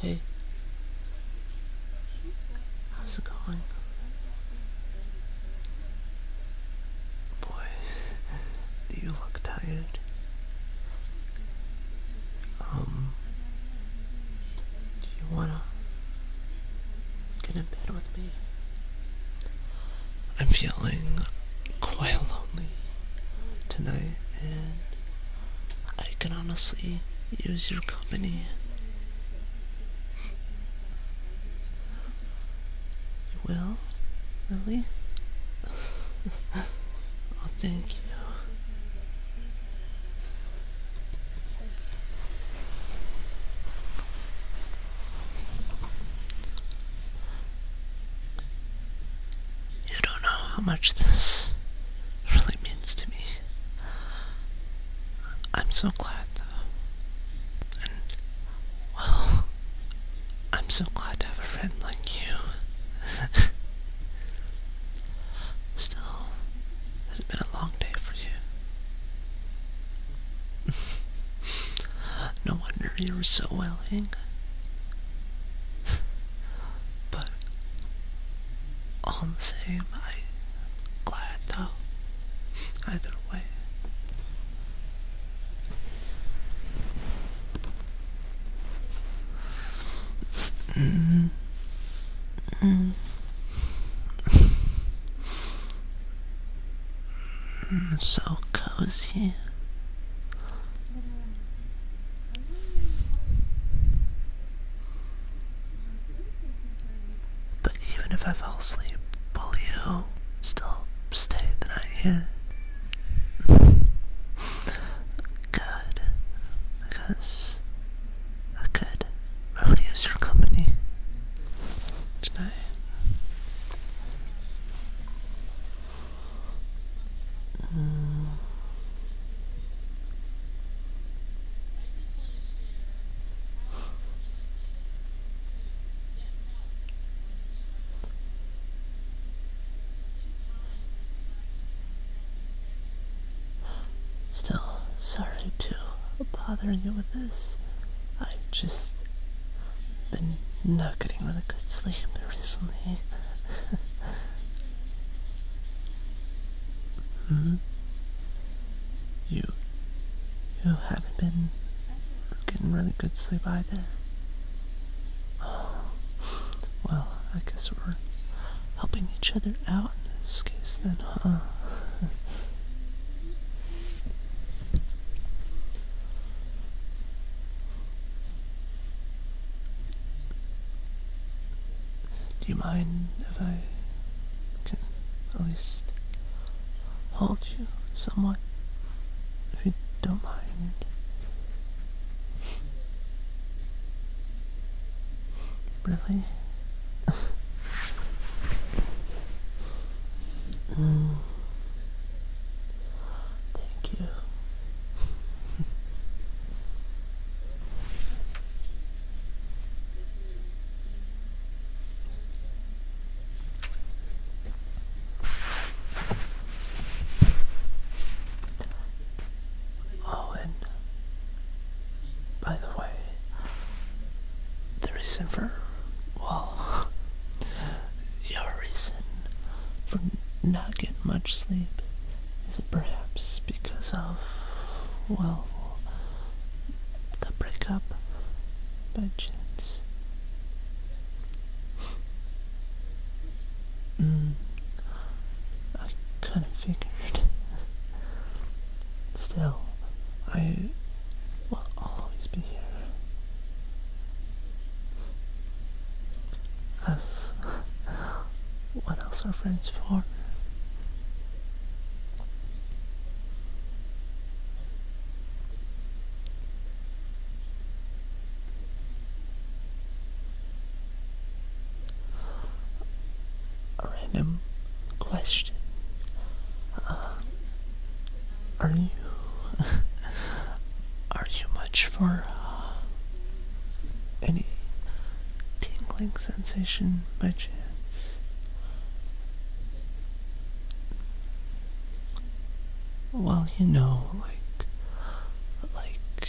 Hey. How's it going? Boy, do you look tired? Um, do you wanna get in bed with me? I'm feeling quite lonely tonight I can honestly use your company. will? Really? oh, thank you. You don't know how much this really means to me. I'm so glad, though. well, I'm so glad to have a friend like you. Still, it been a long day for you. no wonder you were so willing. But all the same, I'm glad though. Either way. Mm-hmm. mm-hmm. so cozy. But even if I fall asleep, will you still stay the night here? Good, because I could really use your company tonight. Uh, still, sorry to bother you with this. I've just been not getting really good sleep recently. hmm? You, you haven't been getting really good sleep either. Oh, well, I guess we're helping each other out in this case then, huh? Do you mind if I can at least hold you somewhat? If you don't mind. really? mm. Thank you oh, and by the way, the reason for well, your reason for not get much sleep? Is it perhaps because of, well, the breakup by chance? Mm, I kind of figured. Still, I will always be here. As what else are friends for? A random question. Uh, are you Are you much for uh, any tingling sensation by chance? Well, you know, like, like,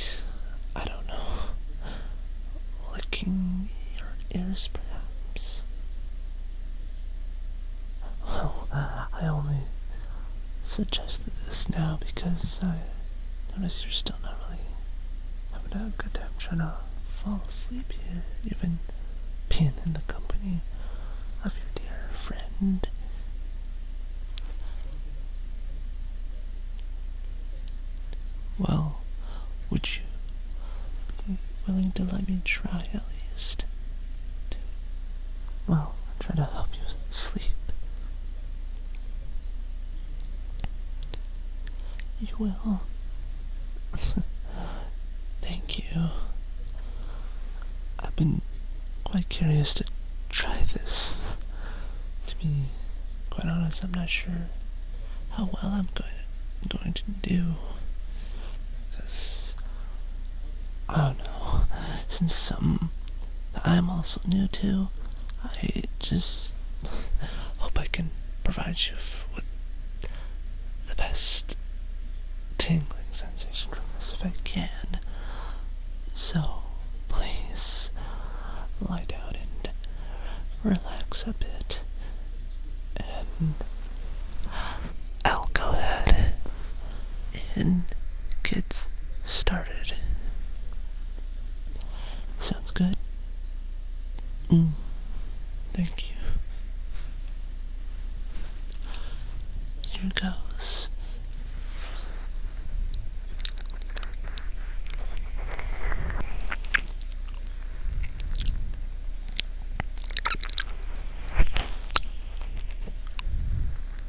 I don't know, licking your ears perhaps? Well, I only suggested this now because I notice you're still not really having a good time trying to fall asleep here, even being in the company of your dear friend. Well, would you willing to let me try at least? well, try to help you sleep you will. Thank you. I've been quite curious to try this. To be quite honest, I'm not sure how well I'm going to, going to do. Because, I don't know, since some I'm also new to. I just hope I can provide you with the best tingling sensation from this if I can. So, please lie down and relax a bit. And I'll go ahead and gets started. Sounds good? Mm. Thank you. Here goes.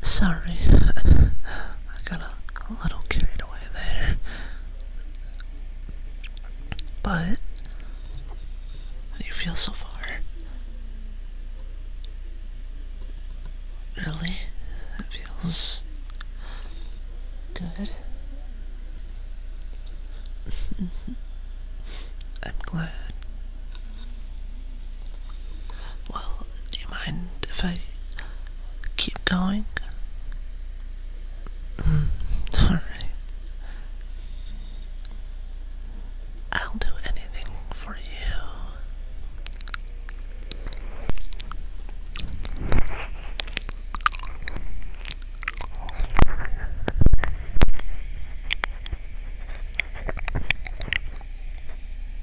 Sorry, I got a little carried away there. But, you feel so far? Really? It feels good. I'm glad. Well, do you mind if I keep going? Mm, Alright. I'll do anything for you.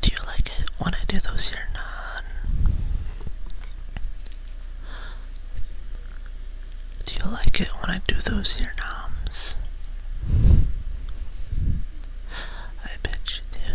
Do you like it when I do those here or Do you like it when I do those here noms? I bet you do.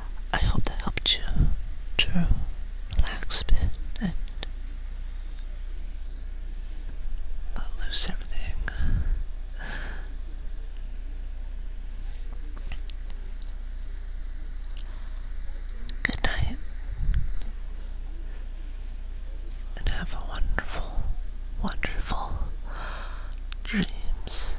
I hope that helped you to relax a bit and not lose everything. Good night, and have a wonderful, wonderful dreams.